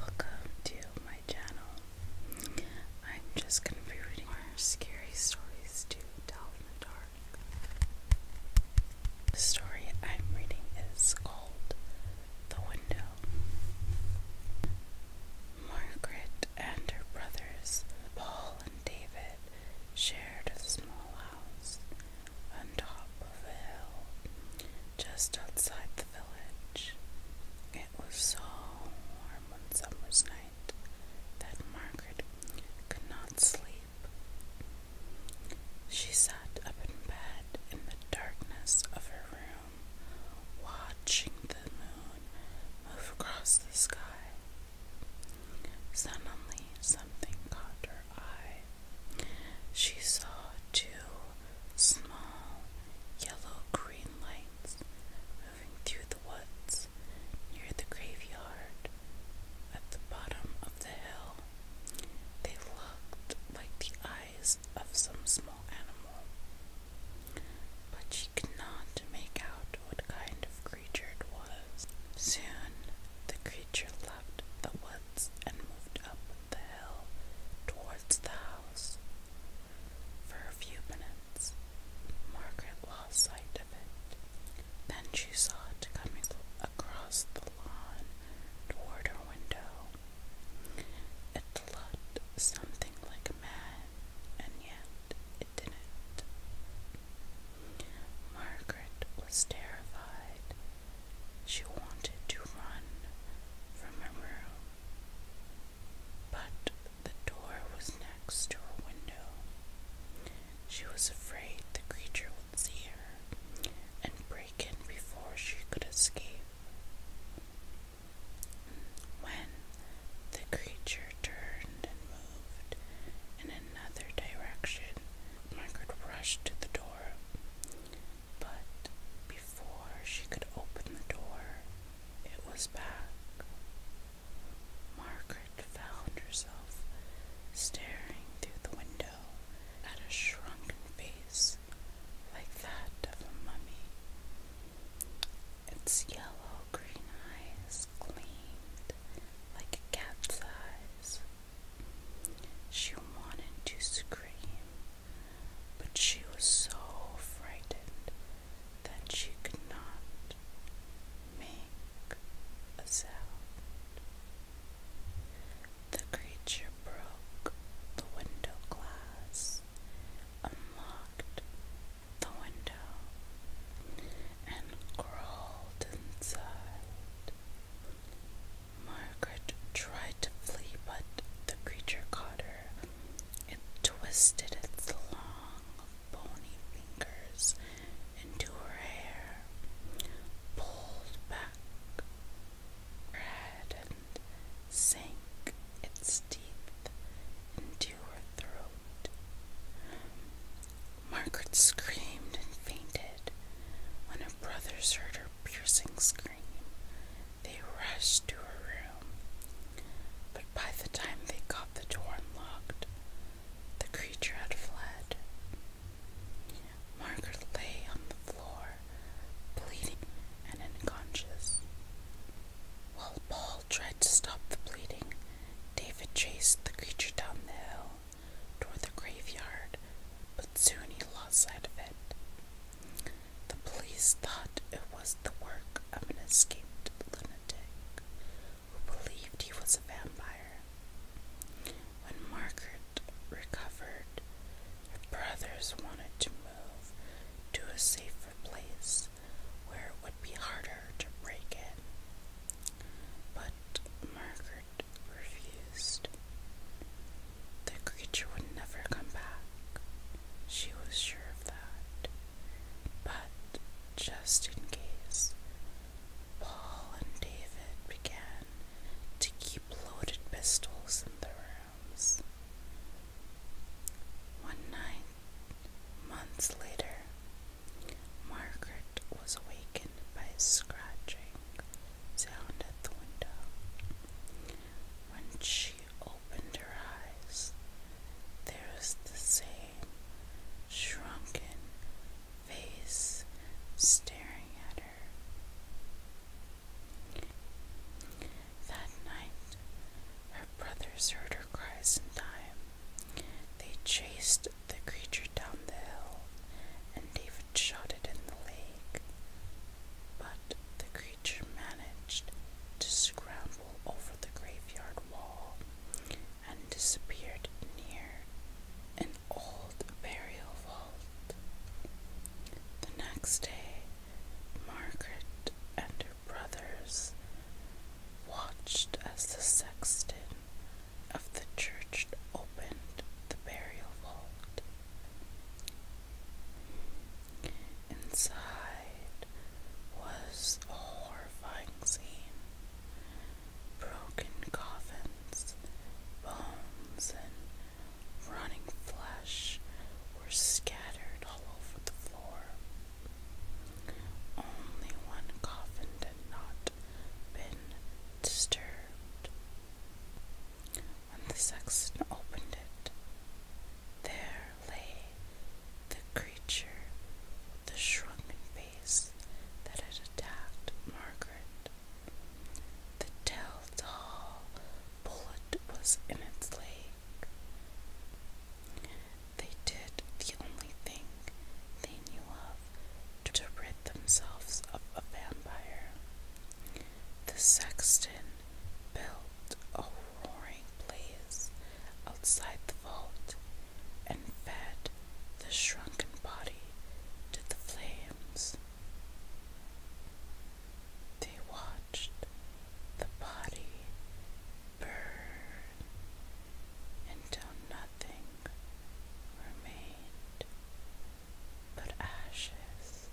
Welcome to my channel. I'm just gonna be reading more scary stories to tell in the dark. The story I'm reading is called The Window. Margaret and her brothers, Paul and David, shared a small house on top of a hill just outside the village. It was so warm one summer's night that Margaret could not sleep. She sat up in bed in the darkness of her room, watching the moon move across the sky. Suddenly, something caught her eye. She saw two small yellow green lights moving through the woods near the graveyard at the bottom of the hill. They looked like the eyes of some small animal, but she could not make out what kind of creature it was. Soon the creature the woods and moved up the hill towards the house. For a few minutes, Margaret lost sight of it. Then she saw it coming across the lawn toward her window. It looked something like a man, and yet it didn't. Margaret was terrified. She wanted to run from her room, but the door was next to her window. She was afraid the creature would see her and break in before she could escape. When the creature turned and moved in another direction. Margaret rushed to the door, but before she could open the door, it was back. Margaret found herself staring through the window at a shrunken face like that of a mummy. Its yellow green eyes gleamed like a cat's eyes. She wanted to scream, but she was so frightened that she could not make a sound. The creature broke the window glass, unlocked the window and crawled inside. Margaret tried to flee, but the creature caught her. It twisted its long, bony fingers into her hair, pulled back her head, sank its teeth into her throat. Margaret screamed and fainted. When her brothers heard her piercing scream, they rushed to her room. But by the time they got the door unlocked, the creature had fled. Margaret lay on the floor bleeding and unconscious. While Paul tried to stop the bleeding, David chased the creature down the hill toward the graveyard, but soon he lost sight of it. The police thought it was the work of an escaped lunatic who believed he was a vampire. When Margaret recovered. Her brothers wanted to move to a safer place where it would be harder to break in. But Margaret refused. The creature would never come back. She was sure of that. But just in case, Paul and David began to keep loaded pistols in their rooms. One night, months later, Margaret was awakened by a scratching sound at the window. When she opened her eyes, there was the same shrunken, face staring at her. That night, her brothers heard her cries in time. They chased the creature down the hill, and David shot it in the lake. But the creature managed to scramble over the graveyard wall and and disappeared near an old burial vault. The next day, Margaret and her brothers watched as the sexton of the church opened the burial vault. Inside was a horrifying scene broken coffins, bones, and running flesh were scattered all over the floor. Only one coffin did not been disturbed. When the sexton opened it, there lay the creature, the shrunken face that had attacked Margaret. The telltale bullet was in its leg. They did the only thing they knew of to rid themselves of a vampire. The sexton built a roaring blaze outside the vault and fed the shrunken body to the flames. They watched the body burn until nothing remained but ashes.